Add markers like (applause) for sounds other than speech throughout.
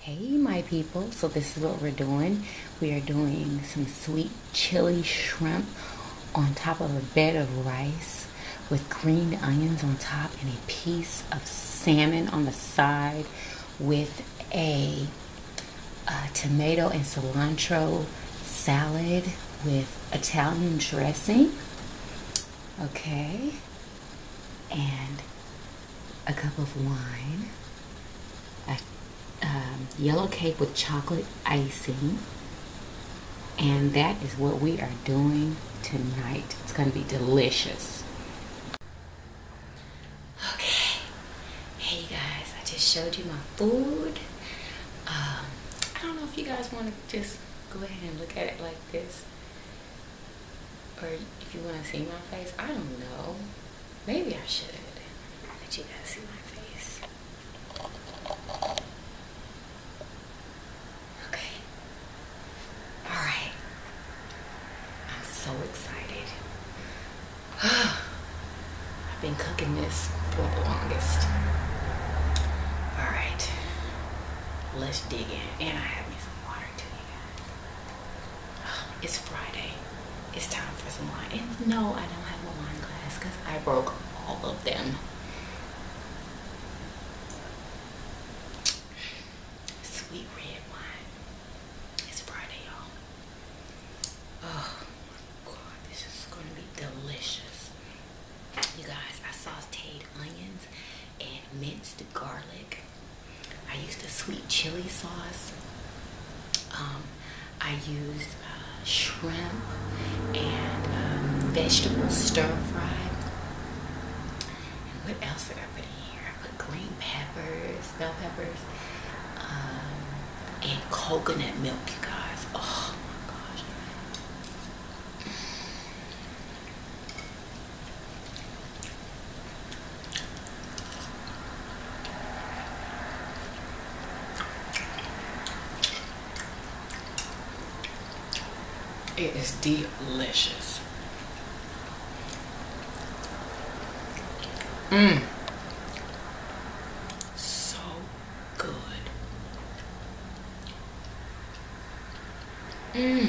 Hey my people, so this is what we're doing. We are doing some sweet chili shrimp on top of a bed of rice with green onions on top and a piece of salmon on the side with a, tomato and cilantro salad with Italian dressing. Okay, and a cup of wine, a um, yellow cake with chocolate icing, and that is what we are doing tonight. It's going to be delicious. Okay, hey guys, I just showed you my food. Um, I don't know if you guys want to just go ahead and look at it like this or if you want to see my face, I don't know. Maybe I should. But you guys see my face. Okay. Alright. I'm so excited. (sighs) I've been cooking this for the longest. Alright. Let's dig in. And I have me some water too. (sighs) It's Friday. It's time for some wine. no, I don't have a wine glass because I broke all of them. Sweet red wine. It's Friday, y'all. Oh my god, this is gonna be delicious. You guys, I sauteed onions and minced garlic I used a sweet chili sauce. Um, I used uh, shrimp and um, vegetable stir fried. And what else did I put in here? I put green peppers, bell peppers, um, and coconut milk, you guys. Oh my gosh. It is delicious. Mmm. So good. Mmm.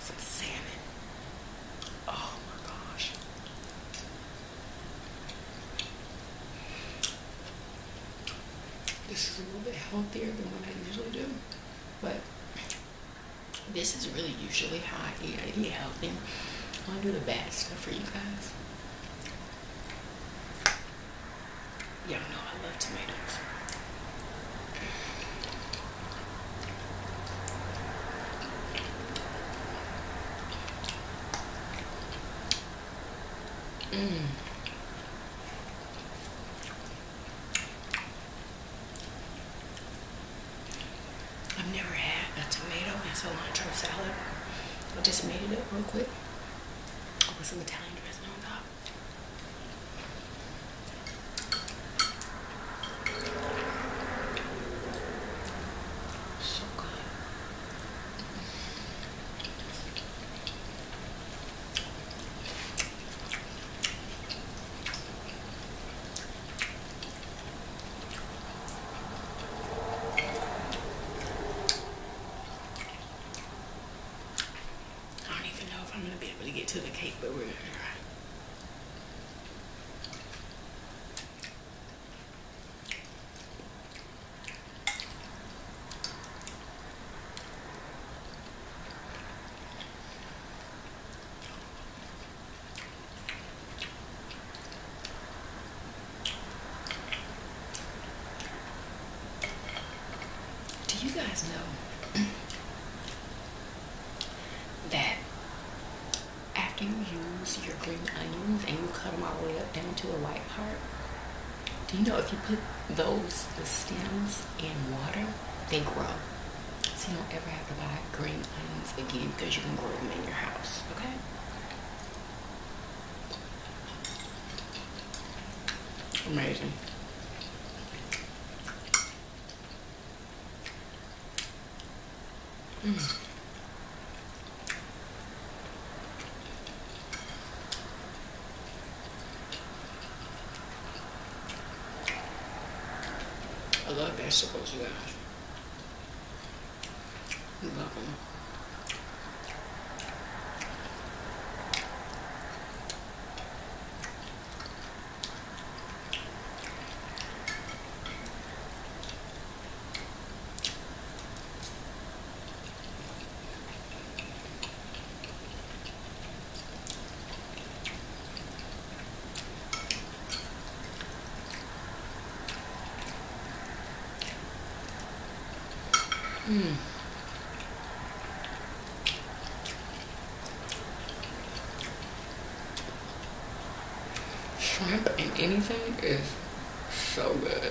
Some salmon. Oh my gosh. This is a little bit healthier than what I usually do. But this is really usually how I eat. I eat healthy. I'm gonna do the bad stuff for you guys. Y'all know I love tomatoes. Mmm. I've never had a tomato and cilantro salad. I just made it up real quick with some Italian dressing on top. So good. I don't even know if I'm gonna be able to get to the cake, but we're gonna try. Do you guys know (clears throat) that after you use your green onions and you cut them all the way up down to the white part, do you know if you put those the stems onions water, they grow. So you don't ever have to buy green onions again because you can grow them in your house, okay? Amazing. I love vegetables, you guys. love them. Mm. Shrimp and anything is so good.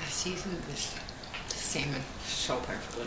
I seasoned this salmon so perfectly.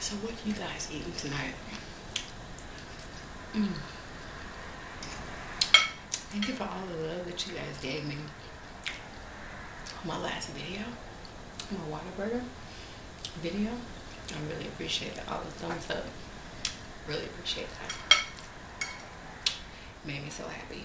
So what you guys eating tonight? Mm. Thank you for all the love that you guys gave me on my last video, my water burger video. I really appreciate All the thumbs up. Really appreciate that. Made me so happy.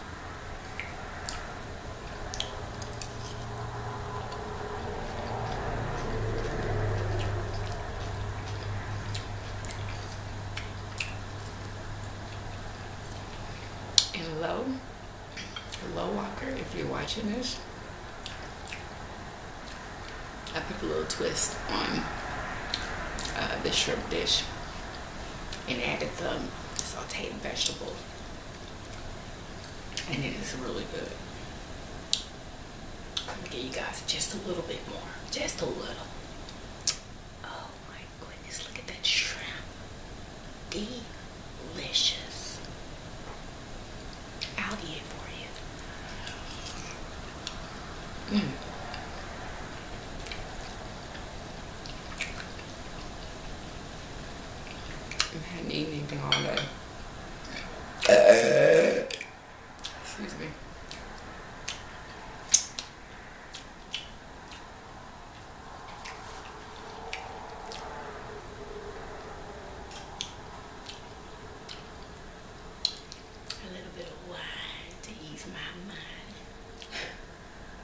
And hello, Low Walker, if you're watching this, I put a little twist on uh, the shrimp dish and added some sauteed vegetables. And it is really good. give you guys just a little bit more. Just a little. Oh my goodness, look at that shrimp. Delicious. I'll eat it for you. Mm. I hadn't evening anything all day. Excuse me. A little bit of wine to ease my mind. (laughs)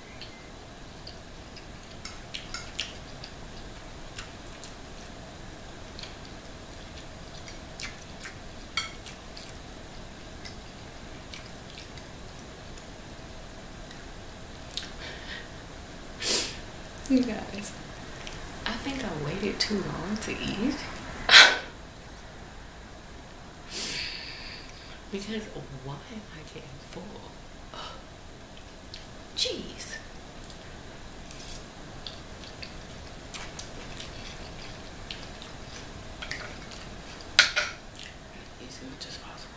(laughs) You guys, I think I waited too long to eat. (laughs) Because why am I getting full? Jeez. Easy, which is possible.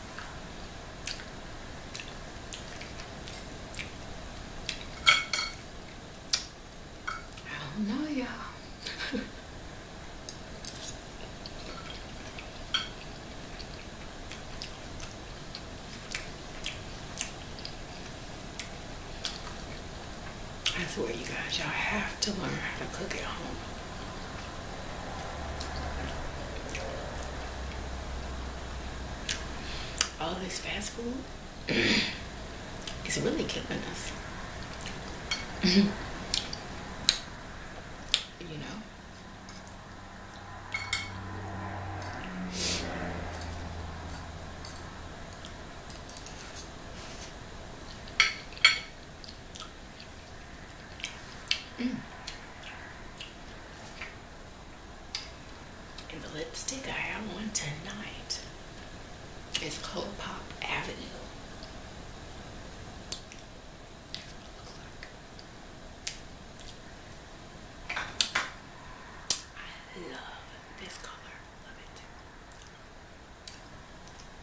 I don't know, y'all. I swear, you guys, y'all have to learn how to cook at home. All this fast food (clears throat) is really killing us. (clears throat) you know? And mm. the lipstick I have on tonight is Cold Pop Avenue. I love this color. Love it.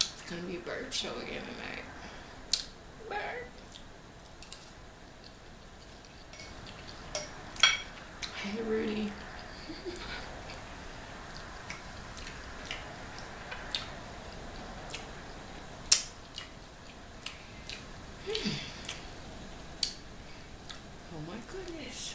It's gonna be bird show again tonight. Bird. Hey Rudy. Hmm. Oh my goodness.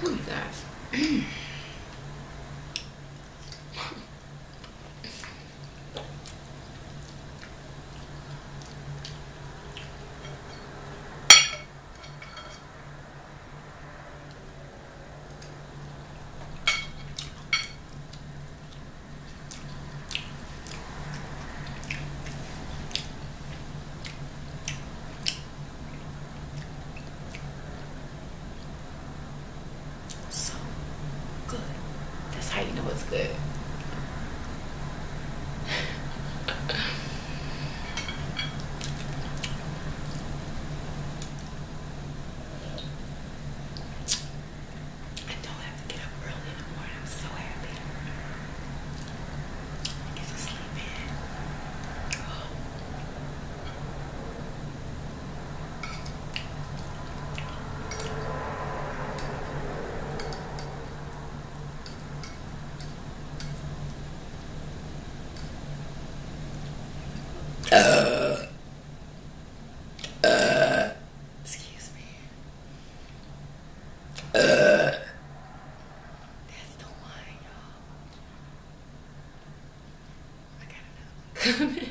Who you guys? So good. That's how you know it's good. (laughs) I don't have to get up early in the morning. I'm so happy. I get to sleep in. Oh. Uh. Uh, excuse me. Uh. That's the one, y'all. I got another one coming. (laughs) no,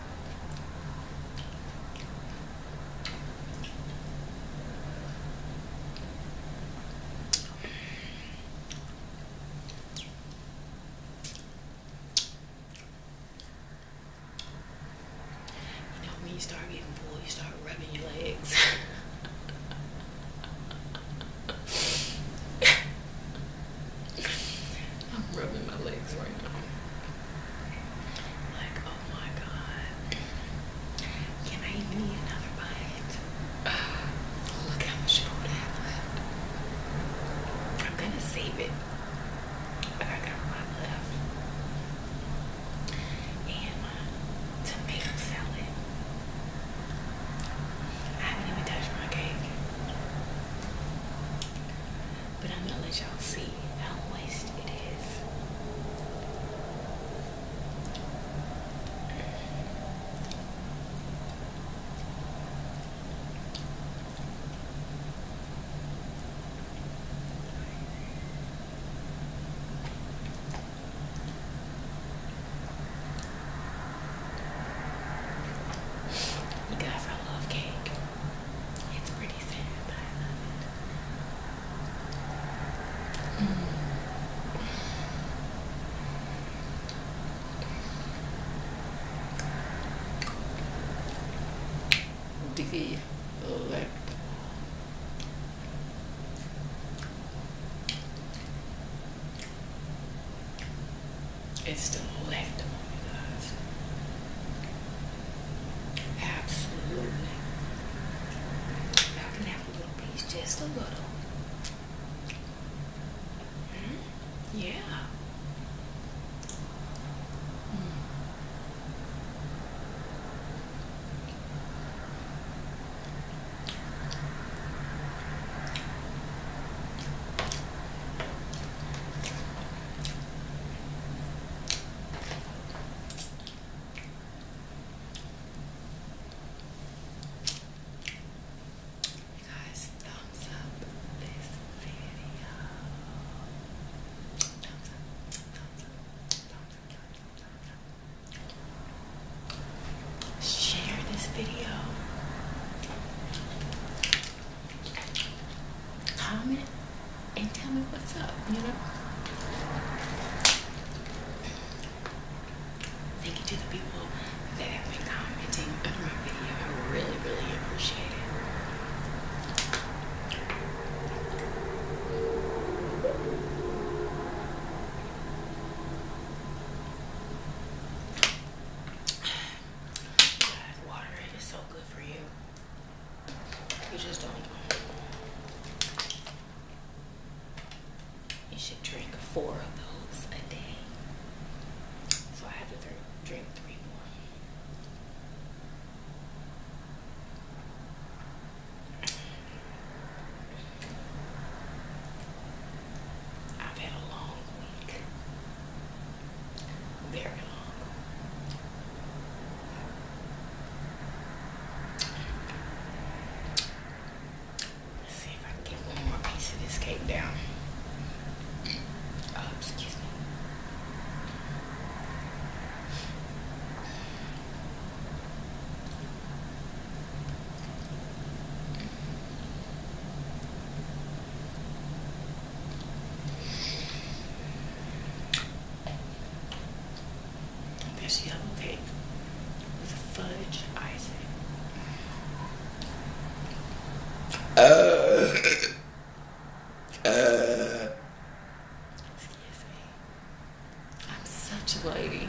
You when you start getting full, you start rubbing your legs. (laughs) I'm rubbing my legs right now. Like, oh my god. Can I eat another bite? (sighs) look how much I have left. I'm gonna save it. I got a lot And my tomato salad. I haven't even touched my cake. But I'm gonna let y'all see how wasted it is. You guys, I love cake. It's pretty sad, but I love it. Mm. Delectable. It's the leftover, guys. Absolutely. you can have a little piece, just a little. Hmm? yeah. Hmm. You guys, thumbs up this video. Thumbs up, thumbs up, thumbs up, thumbs up, thumbs up. Share this video comment and tell me what's up, you know? Thank you to the people that have been commenting under my video. I really, really appreciate it. (sighs) water, it is so good for you. You just don't. You should drink four of those a day. So I have to drink three more. I've had a long week. Very long. Let's see if I can get one more piece of this cake down. Oh, excuse me. There's yellow cake with a fudge icing. Uh, uh, uh. Excuse me. I'm such a lady.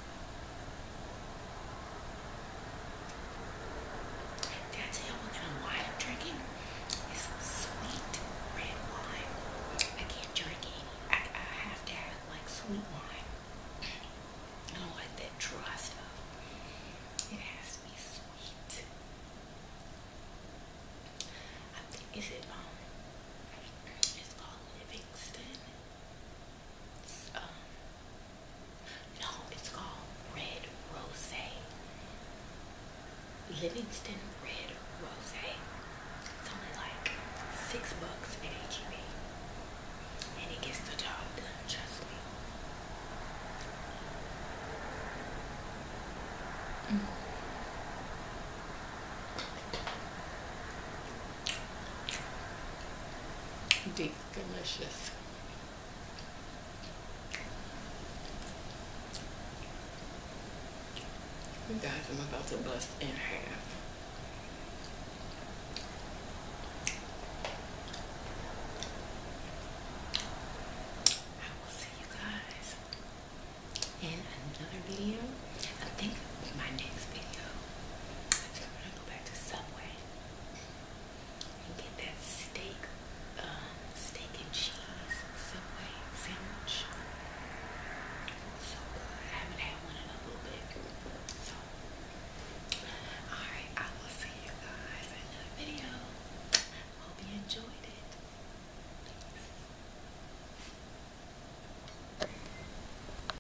That's how we're going to wind up drinking It's sweet red wine. I can't drink any. I, I have to have like sweet wine. I don't like that dry stuff. It has to be sweet. I think, is it, um, it's called Livingston? um, no, it's called Red Rosé. Livingston Red Rosé. It's only like six bucks at HEB. And it gets the job done, trust Deep, delicious. You guys, I'm about to bust in half. I will see you guys in another video. I think my next video go back to Subway and get that steak, um, steak and cheese Subway sandwich. So I haven't had one in a little bit. So, alright, I will see you guys in another video. Hope you enjoyed it.